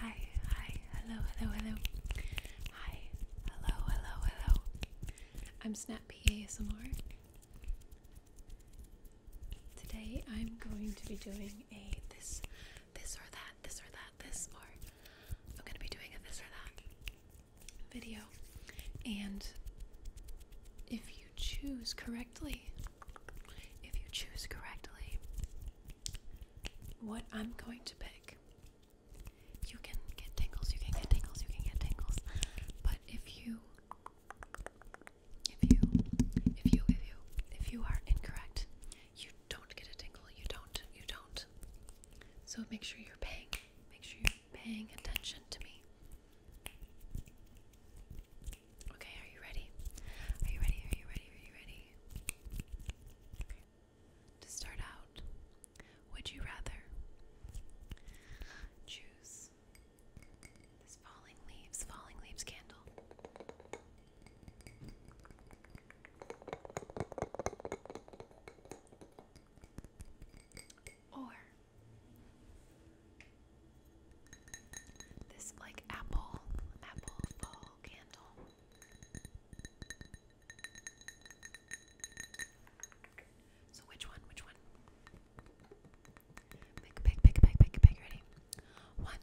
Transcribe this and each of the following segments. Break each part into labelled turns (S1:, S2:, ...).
S1: Hi, hi, hello, hello, hello. Hi, hello, hello, hello. I'm Snappy ASMR. Today I'm going to be doing a this, this or that, this or that, this or I'm going to be doing a this or that video. And if you choose correctly, if you choose correctly, what I'm going to pick. You can get tingles, you can get tingles, you can get tingles. But if you if you if you if you if you are incorrect, you don't get a tingle. You don't. You don't. So make sure you're paying make sure you're paying attention to me. Okay, are you ready? Are you ready? Are you ready? Are you ready? To start out, would you rather choose this falling leaves, falling leaves candle? Or this like apple, apple fall so which one? Which one? Pick, pick, pick, pick, pick, pick. Ready? One,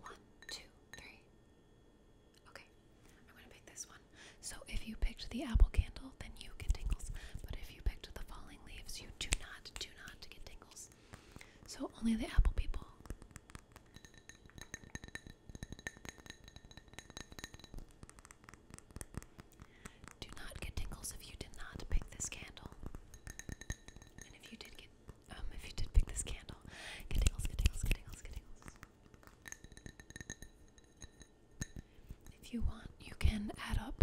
S1: one, two, three. Okay, I'm gonna pick this one. So if you picked the apple candle, then you get tingles. But if you picked the falling leaves, you do not, do not get tingles. So only the apple people do not get tingles if you did not pick this candle. And if you did get um if you did pick this candle, tingles, tingles, tingles, tingles. If you want, you can add up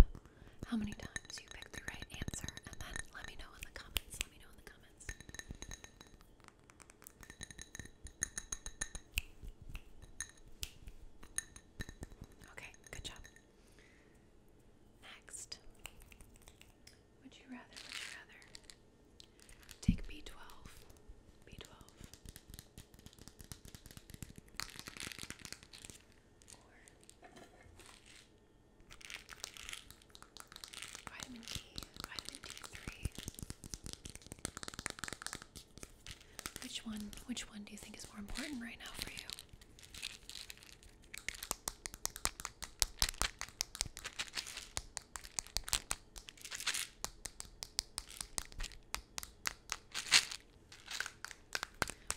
S1: how many times you picked the right answer and then let me know in the comments. Let me know in the comments comments. Okay, good job. Next, would you rather, would you rather take B12? B12. Or Vitamin D, vitamin D3. Which one, which one do you think is more important right now for you?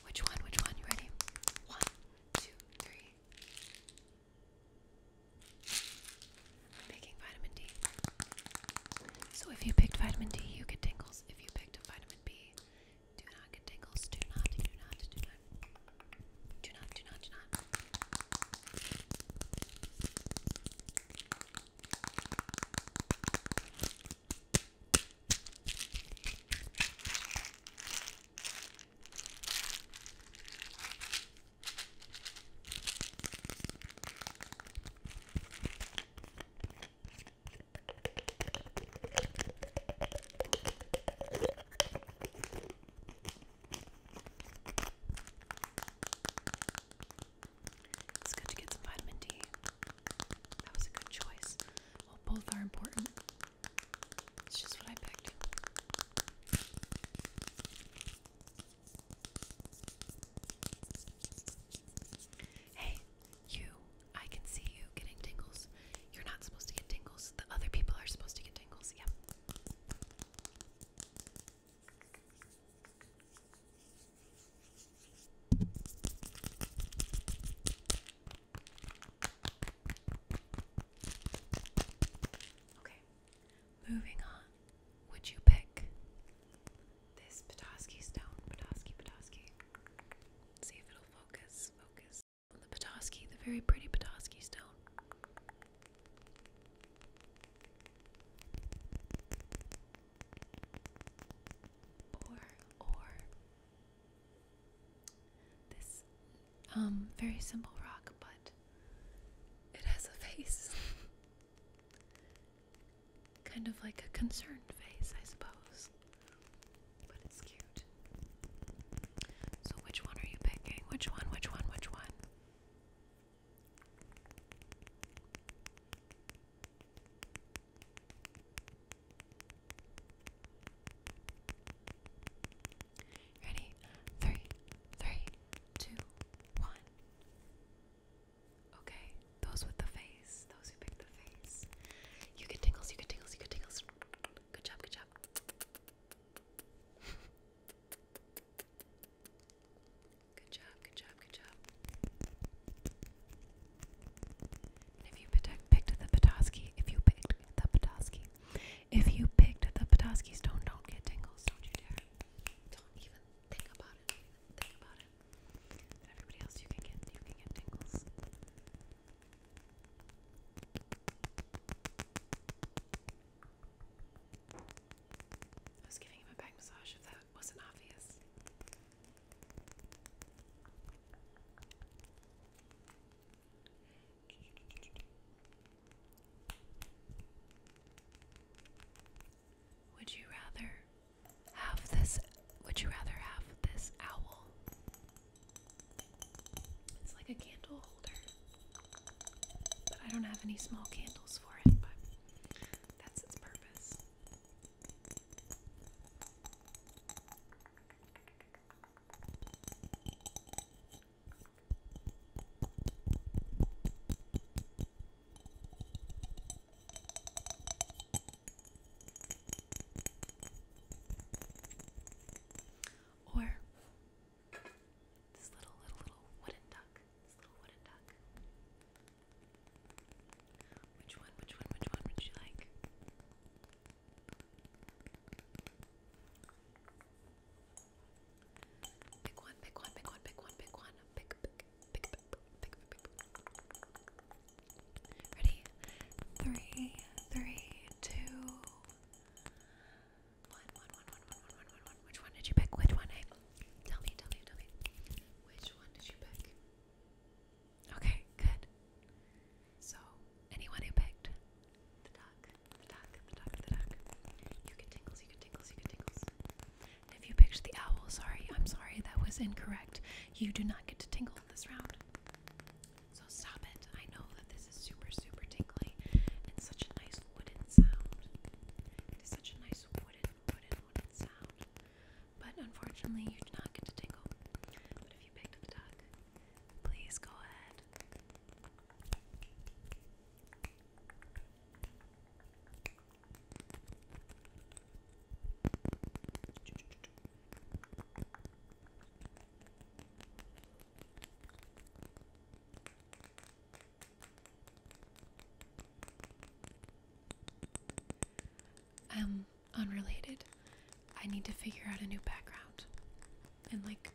S1: Which one? Which one? You ready? One, two, three i vitamin D. So if you picked vitamin D, you get tingles. If you picked vitamin B, do not get tingles. do not, do not. Do not, do not, do not. It's good to get some vitamin D. That was a good choice. both are important. It's just what I picked. Hey, you. I can see you getting tingles. You're not supposed to get tingles. The other people are supposed to get tingles. Yep. Okay, moving on. Would you pick this Petoskey stone? Petoskey, Petoskey. See if it'll focus. Focus on the Petoskey, the very pretty Petoskey stone. Or, or this um, very simple rock, but it has a face. kind of like a concerned face, I suppose. But it's cute. So, which one are you picking? Which one? Which one? Which one? Ready? Three, three, two, one. Okay, those with the face, those who picked the face. You get tingles, you get tingles, you get tingles. Good job, good job. Good job, good job, good job. if you picked the Petoskey, if you picked the Petoskey, if you picked the Petoskey stone, don't get tingles. Don't you dare. Don't even think about it. think about it. everybody else, you can get you can get tingles. I was giving him a back massage if that wasn't obvious. Would you rather have this? Would you rather have this owl? It's like a candle holder, but I don't have any small candles for it, but that's its purpose. Or this little, little, little wooden duck. This little wooden duck. Which one, which one, which one would you like? Pick one, pick one, pick one, pick one, pick one. Pick, pick, pick, pick, pick, pick, pick. Ready? Three, three, two, one, one, one, one, one, one, one, one, one. Which one did you pick? Which one? Eh? tell me, tell me, tell me. Which one did you pick? Okay, good. So, anyone who picked the duck Ptak, You if you picked the owl, sorry, I'm sorry, that was incorrect. You do not get to tingle this round. So stop it. I know that this is super, super tingly and such a nice wooden sound. It is such a nice wooden, wooden, wooden sound. But unfortunately, you do not get to tingle. But if you picked the duck, please go ahead um, unrelated. I need to figure out a new background and like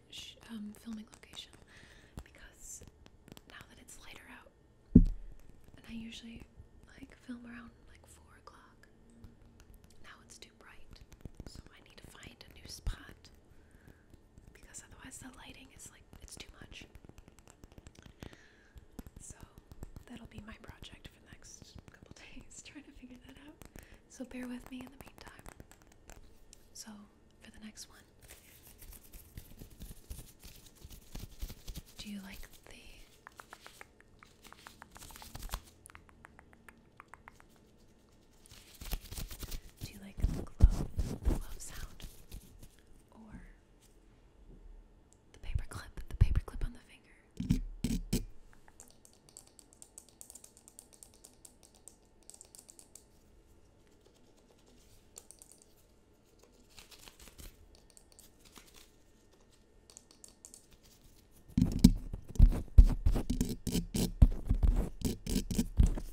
S1: um, filming location because now that it's lighter out, and I usually like film around like four o'clock. Now it's too bright, so I need to find a new spot because otherwise the lighting is like it's too much. So that'll be my project for the next couple days, trying to figure that out. So bear with me in the meantime. So, for the next one, do you like the do you like the glove, glove sound, or the paper clip, the paper on the finger?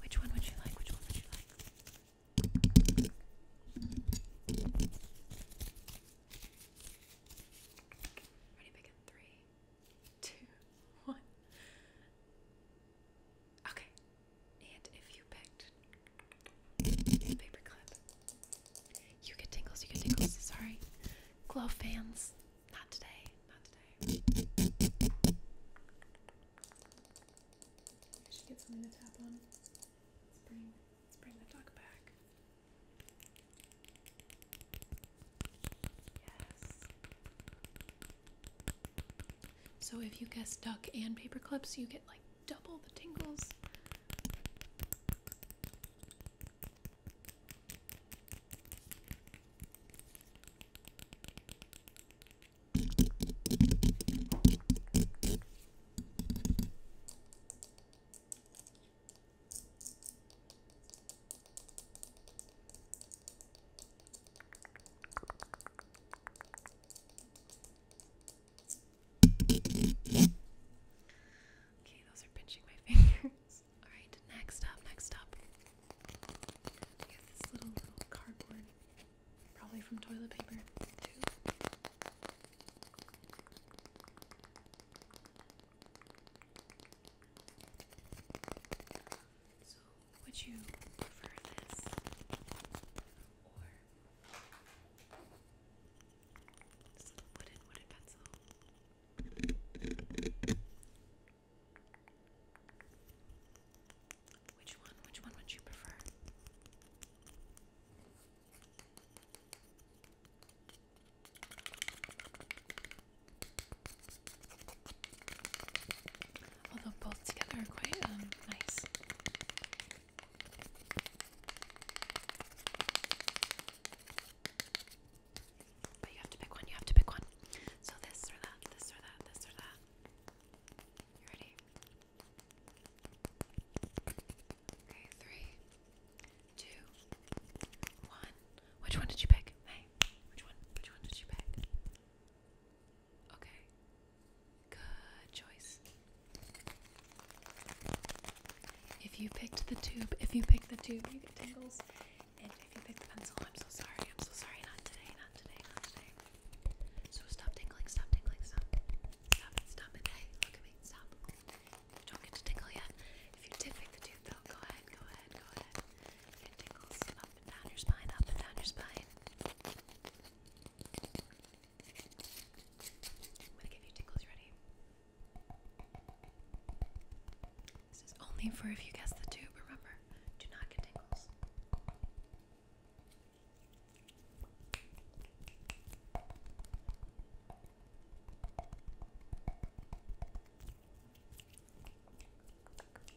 S1: Which one would you like? Which one would you like? Ready, pick in three, two, one. Okay, and if you picked paperclip, you get tingles, you get tingles. Sorry, glove fans, not today, not today. should get something to tap on. Let's bring, let's bring the dog back. Yes. So if you guess duck and paper clips, you get like double the tingles. Okay, those are pinching my fingers. Alright, next up, next up. I got this little, little cardboard, probably from toilet paper, too. So, would you prefer this or this little wooden wooden pencil?
S2: Which one? Which one would you prefer? Although both together are quite
S1: um, nice. But you have to pick one, you have to pick one. So this or that, this or that, this or that. You ready? Okay, three, two, one. Which one did you pick? Which one? Which one did you pick? Okay. Good choice. If you picked the tube, if you picked the tube, you tingles. And if you pick the pencil, I'm so sorry. I'm so sorry. Not today. Not today. Not today. So stop tingling. Stop tingling. Stop. Stop Stop it. look at me. Stop. don't get to tingle yet. If you did pick the tube, go ahead. Go ahead. Go ahead tingles up and down your spine, up and down your spine. i give you tingles, you ready? This is only for if you guess the tube, remember. Do not get tingles.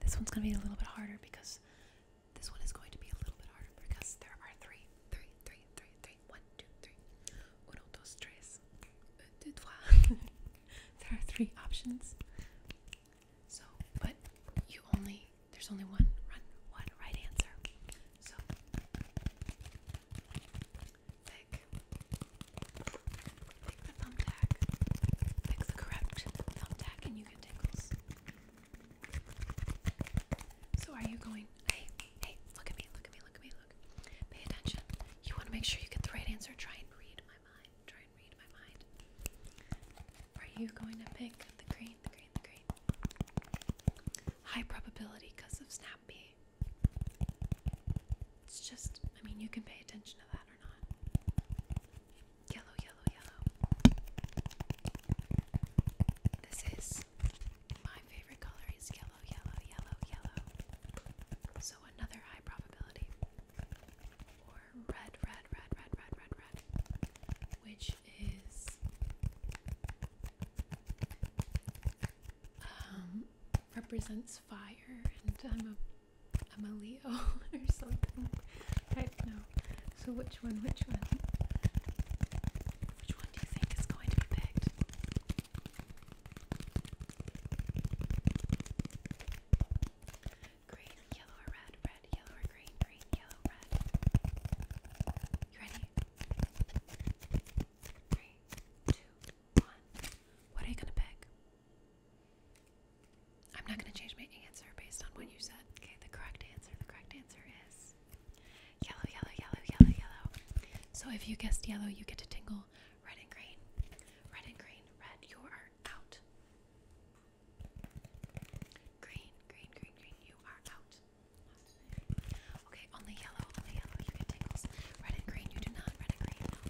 S1: This one's gonna be a little bit harder because this one is going to be a little bit harder because there are three, three, three, three, three, one, two, three, uno, dos, tres, un, deux, trois. there are three options. So, but you only there's only one one right answer. So Pick the thumbtack. Pick the correct thumbtack and you get tingles. So are you going, hey, hey, look at me, look at me, look at me, look. Pay attention. You want to make sure you get the right answer. Try and read my mind. Try and read my mind. Are you going to pick the green, the green, the green? High probability because of Snappy. It's just, I mean, you can pay attention to that or not. Yellow, yellow, yellow. This is my favorite color is yellow, yellow, yellow, yellow. So another high probability. Or red, red, red, red, red, red, red. Which is um, represents fire and I'm a I'm a Leo or something. I don't know. So which one? Which one? Which one do you think is going to be Green, yellow, red? Red, yellow, green? Green, yellow, red. You ready? Three, two, one. What are you gonna pick? I'm not going to change my answer based on what you said. Okay, the correct answer, the correct answer is yellow, yellow, yellow, yellow, yellow. So if you guessed yellow, you get to tingle red and green. Red and green, red, you are out. Green, green, green, green, you are out. Okay, only yellow, only yellow, you get tingles. Red and green, you do not. Red and green, no.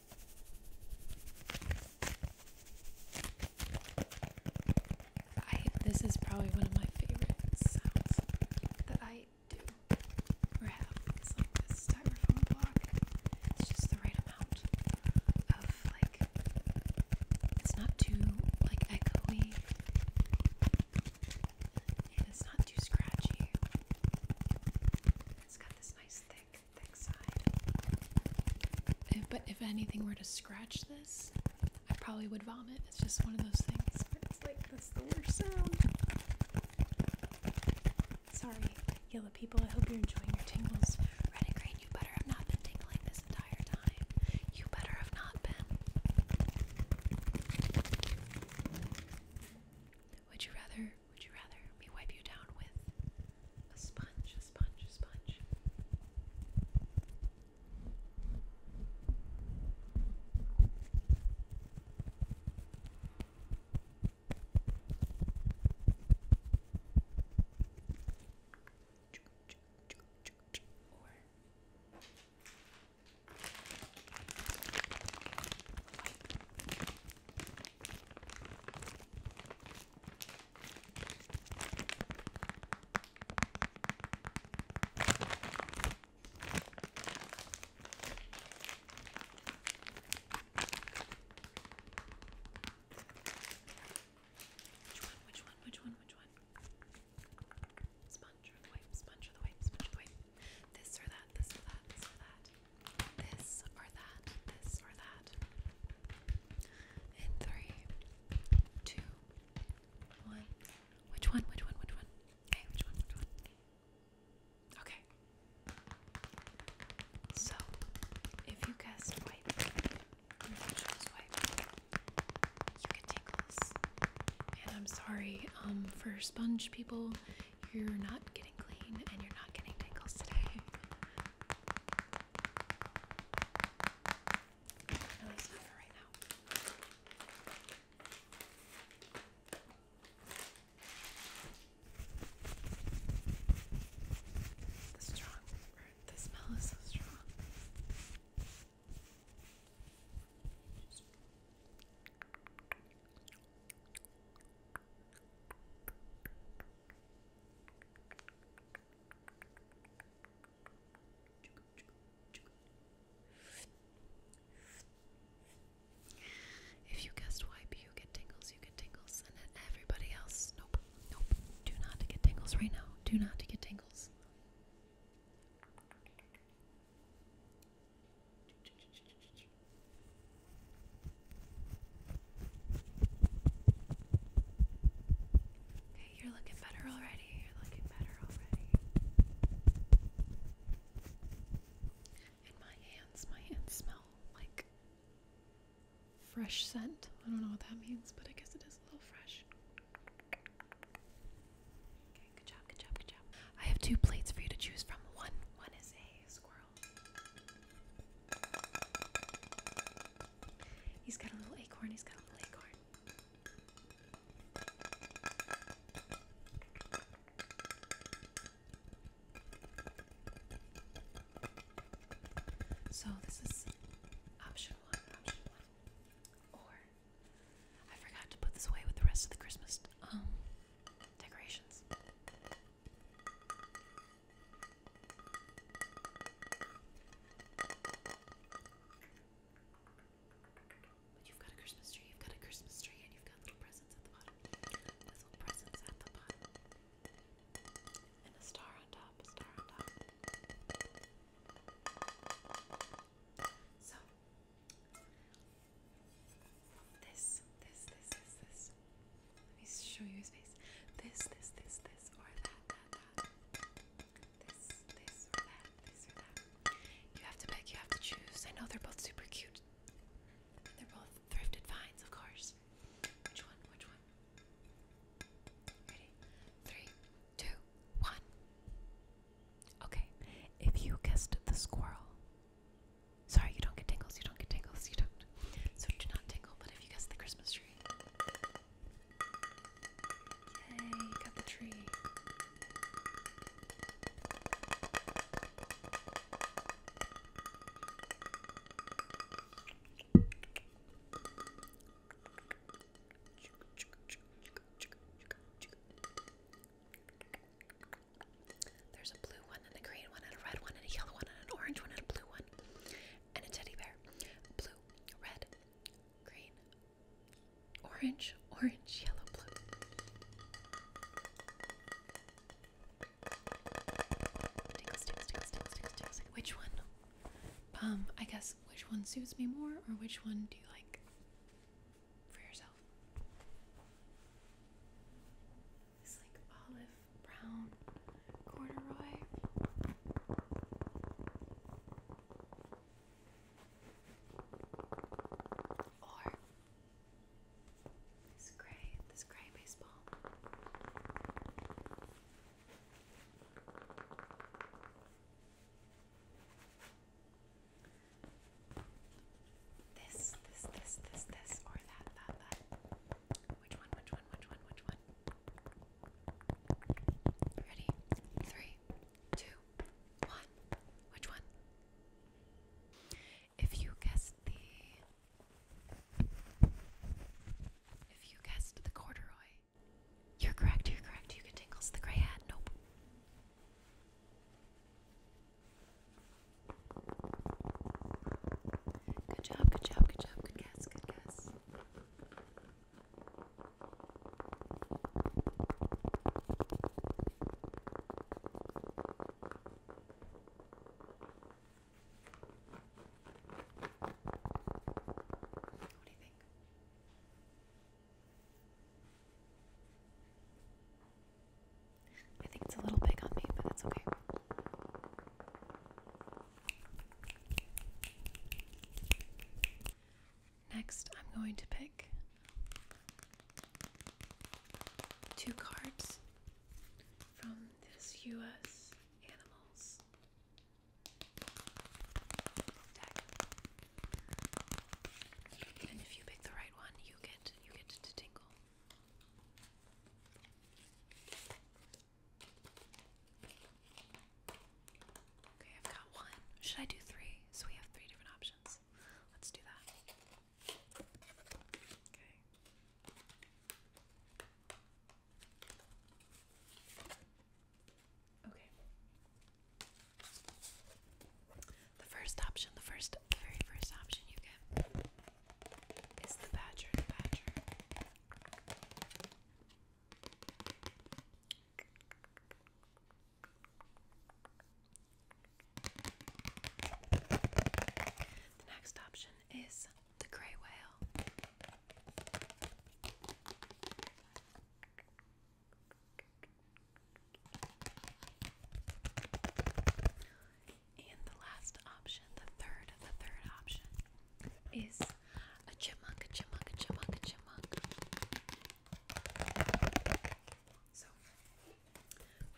S1: this is probably one of my favorite sounds that I do or have. It's like this styrofoam block. It's just the right amount of like it's not too like echoey and it's not too scratchy. It's got this nice side. If, but if anything were to scratch this, I probably would vomit. It's just one of those things Sorry, yellow people, I hope you're enjoying your tingles. Renegade, you better have not been tingling this entire time. You better have not been. Would you rather, would you rather me wipe you down with a sponge, a sponge, a sponge. Or which one? Which one? Which one? Which one? Sponge or the wipe? Sponge or the wipe? Sponge or the wipe? This or that? This or that? This or that? This or that? This or that? in three, two, one. Which one? Which one? Which one? Okay, which one? Which one? Okay. So, if you guessed white, you get tingles. And I'm sorry, um, for sponge people, you're not getting clean and you're not getting tangles today. At least not for right now. The strong, or the smell is so strong. Just I if you guessed wipe, you get tingles, you get tingles, and everybody else, nope, nope, do not get tingles right now. Do not get tingles. Okay, you're looking better already. You're looking better already. And my hands, my hands smell like fresh scent. I don't know what that means, but I guess it is a little fresh. Okay, good job, good job, good job. I have two plates for you to choose from. One, one is a squirrel. He's got a little acorn, he's got a little acorn. So this is option one, option one. Or I forgot to put this away with the rest of the Christmas um, decorations. But you've got a Christmas tree, you've got a Christmas tree, and you've got little presents at the bottom. There's little presents at the bottom. And a star on top, a star on top. So this, this, this, this, this let me show you his face. This, this, this, this, or that, that, that. This, this, that, this, or that. You have to pick, you have to choose. I know they're both super cute. they're both thrifted finds, of course. Which one? Which one? Ready? Three, two, one. Okay. If you guessed the squirrel. Sorry, you don't get tingles, you don't get tingles, you don't. So do not tingle, but if you guess the Christmas Yay, got the tree. There's a blue one and a green one and a red one and a yellow one and an orange one and a blue one and a teddy bear. Blue, red, green, orange, orange, yellow, blue. Which one? Um, I guess which one suits me more, or which one do you like for yourself? this like olive brown corduroy. Or this gray, this gray baseball. This, this, this, this, this, or that, that, that. Which one, which one, which one, which one? Ready? Three, two, one. Which one? If you guessed the. If you guessed the corduroy, you're correct, you're correct. You can tingles the gray hat. Nope. Good job, good job, good job, good guess, good guess. What do you think? I think it's a little big on me, but that's okay. Next, I'm going to pick two cards from this US Animals deck. And if you pick the right one, you get you get to tingle. Okay, I've got one. Should I do three? So we have three different options. Let's do that. Okay. Okay. The first option, the first, the very first option you get is the badger, the next option is the gray whale. And the last option, the third, the third option is a chipmunk, a chipmunk, a chipmunk, a chipmunk. So,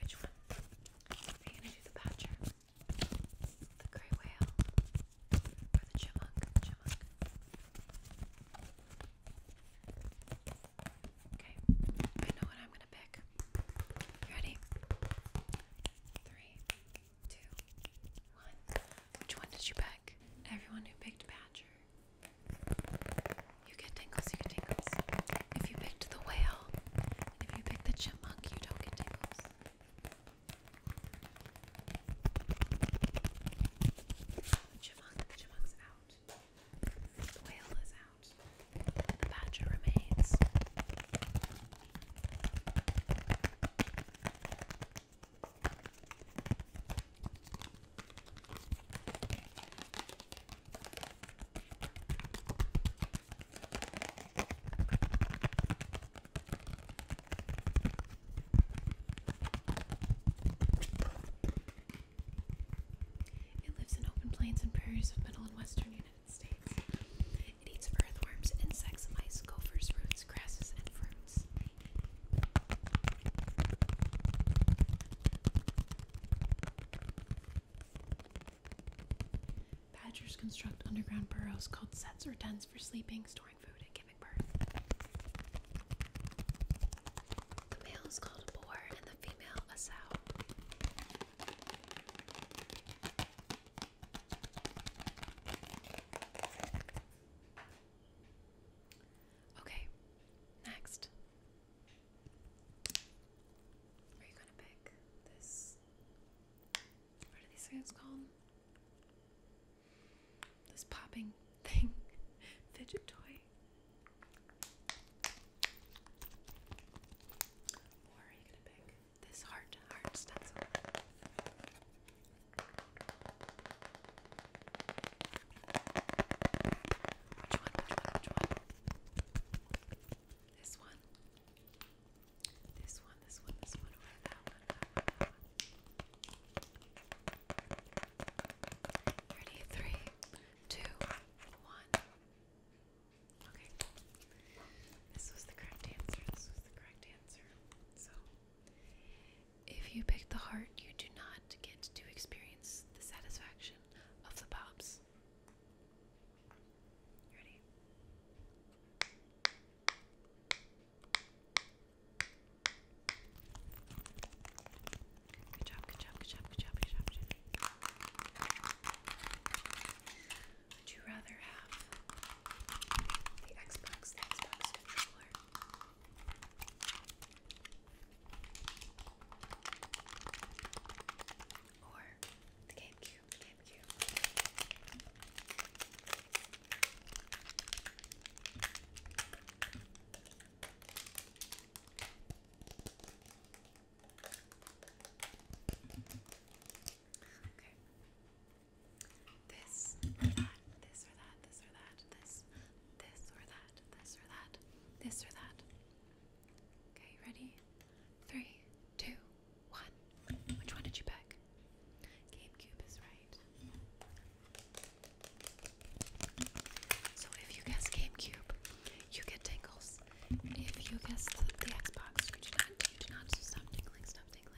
S1: which one? Are you gonna do the badger, the gray whale, or the chipmunk? Chipmunk. Okay, I know what I'm gonna pick. ready? Three, two, one. Which one did you pick? Everyone who picked Badger. You get tingles, you get tingles. If you picked the whale, and if you picked the chipmunk, you don't get tingles. The chipmunk, out. The whale is out. The badger remains. It lives in open plains and prairies of middle and western United it eats earthworms, insects, mice, gophers, roots, grasses, and fruits. Badgers construct underground burrows called sets or dens for sleeping, storing food, and giving birth. The male is called a boar and the female a sow. Okay, next. Are you gonna pick this? What are these things called? This popping thing, fidget toy. Or are you gonna pick this heart heart stencil. Which one? Which one? This one. This one. This one. This one. Or That one. Ready? Three, two, one. Okay. This was the correct answer. This was the correct answer. So, if you pick the heart, you do not get to experience the satisfaction of the pops. ready? Good job, good job, good job, good job, good job. Would you rather have the Xbox the Xbox controller? Or the GameCube, the GameCube. Okay this or that, this or that, this or that, this, this or that, this or that, this or that. Okay, ready? Three, two, one. Which one did you pick? GameCube is right. So if you guess GameCube, you get tingles. If you guess the, Xbox, you do not, stop tingling, stop tingling.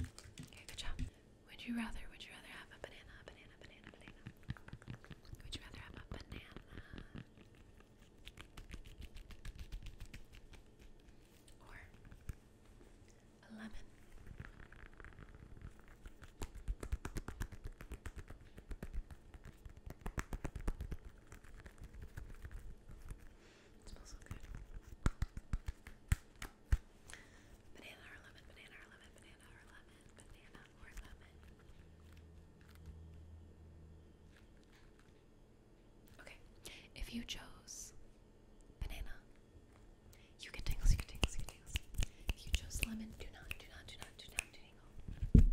S1: Okay, good job. Would you rather, would you rather have a banana, banana, banana, banana? Would you rather have a banana? Or a lemon? It smells so good. Banana or lemon, banana or lemon, banana or lemon, banana or lemon. Okay, if you chose banana, you get tingles, you get tingles, you get tingles. If you chose lemon, do not, do not, do not, do not tingle.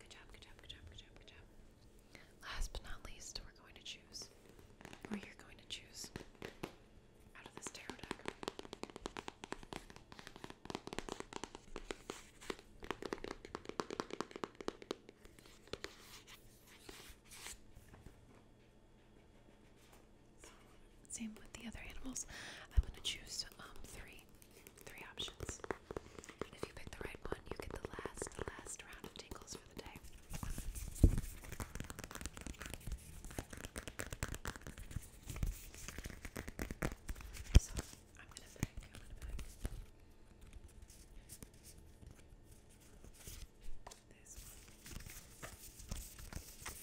S1: Good job, good job, good job, good job, good job. Last but not least, we're going to choose, or you're going to choose, out of this tarot deck. Same with the other animals. I'm gonna choose um, three, three options. if you pick the right one, you get the last, last round of tingles for the day. So I'm gonna pick this one. So,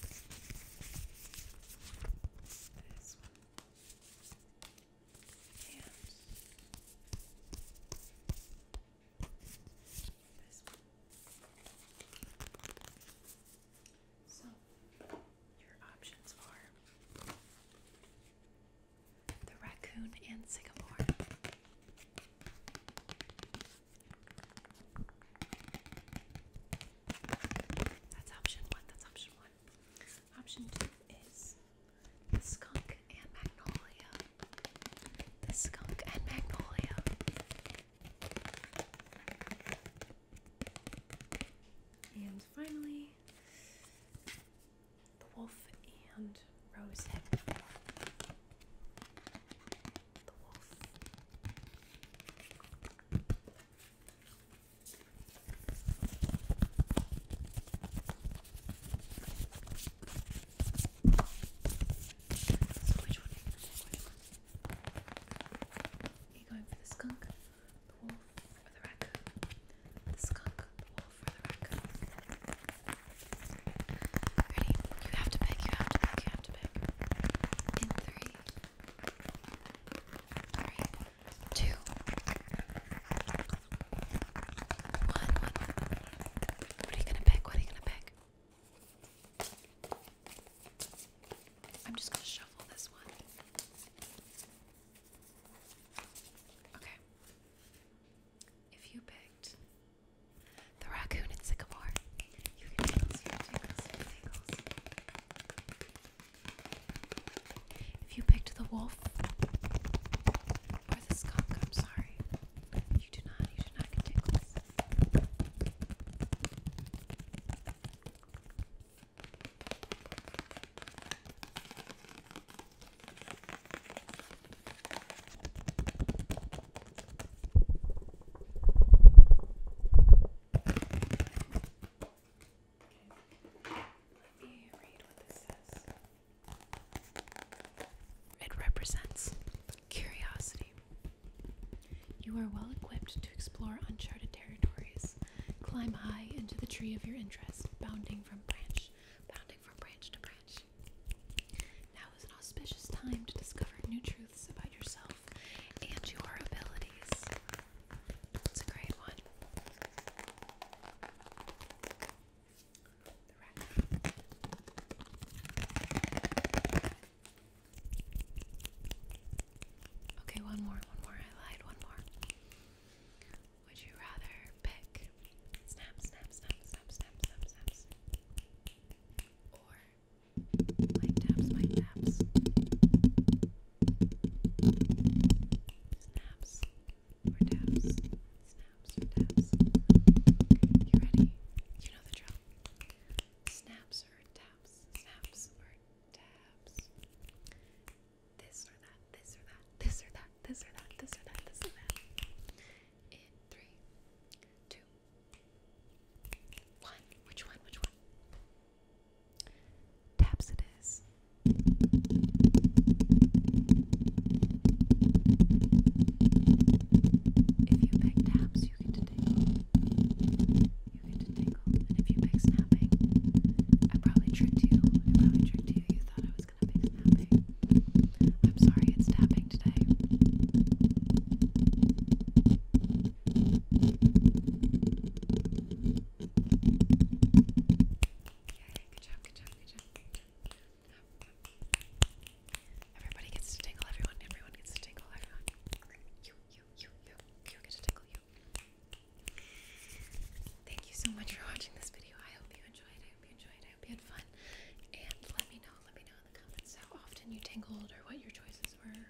S1: your options are the raccoon and sycamore, that's option one. That's option one. Option two is the skunk and magnolia. The skunk and magnolia. And finally, the wolf and rosette. The wolf so which one? Which one? Are you going for the skunk, the wolf, or the raccoon? The skunk, the wolf, or the raccoon? Ready? You have to pick, you have to pick, you have to pick. In three, Alright. What are you gonna pick? What are you gonna pick? I'm just gonna shuffle this one. Okay. If you picked the raccoon and sycamore, if you picked the wolf or the skunk, I'm sorry. You do not, you do not get tickles. It represents curiosity. You are well equipped to explore uncharted territories. Climb high into the tree of your interest, bounding from branch, bounding from branch to branch. Now is an auspicious time to discover new truths about yourself and your abilities. It's a great one. Okay, one more, one more. I lied, one more. Would you rather pick snap, snap, snap, snap, snap, snap, snaps, or my taps, my taps. Snaps or taps. Snaps or taps. You ready? You know the drill. Snaps or taps. Snaps or taps. This or that, this or that, this or that, this or that, this or that, this or that. In three, two, one. Which one? Which one? Taps it is. If you pick taps, you get to You get to And if you pick snapping, I probably tricked you. I tricked you. You thought I was gonna pick snapping. I'm sorry, it's tapping today good job, good job, good job, Everybody gets to tingle, everyone, everyone gets to tingle, everyone. You, you, you, you, you get to tingle, you. Thank you so much for watching this video. I hope you enjoyed. I hope you enjoyed. I hope you had fun. And let me know, let me know in the comments how often you tingled or what your choices were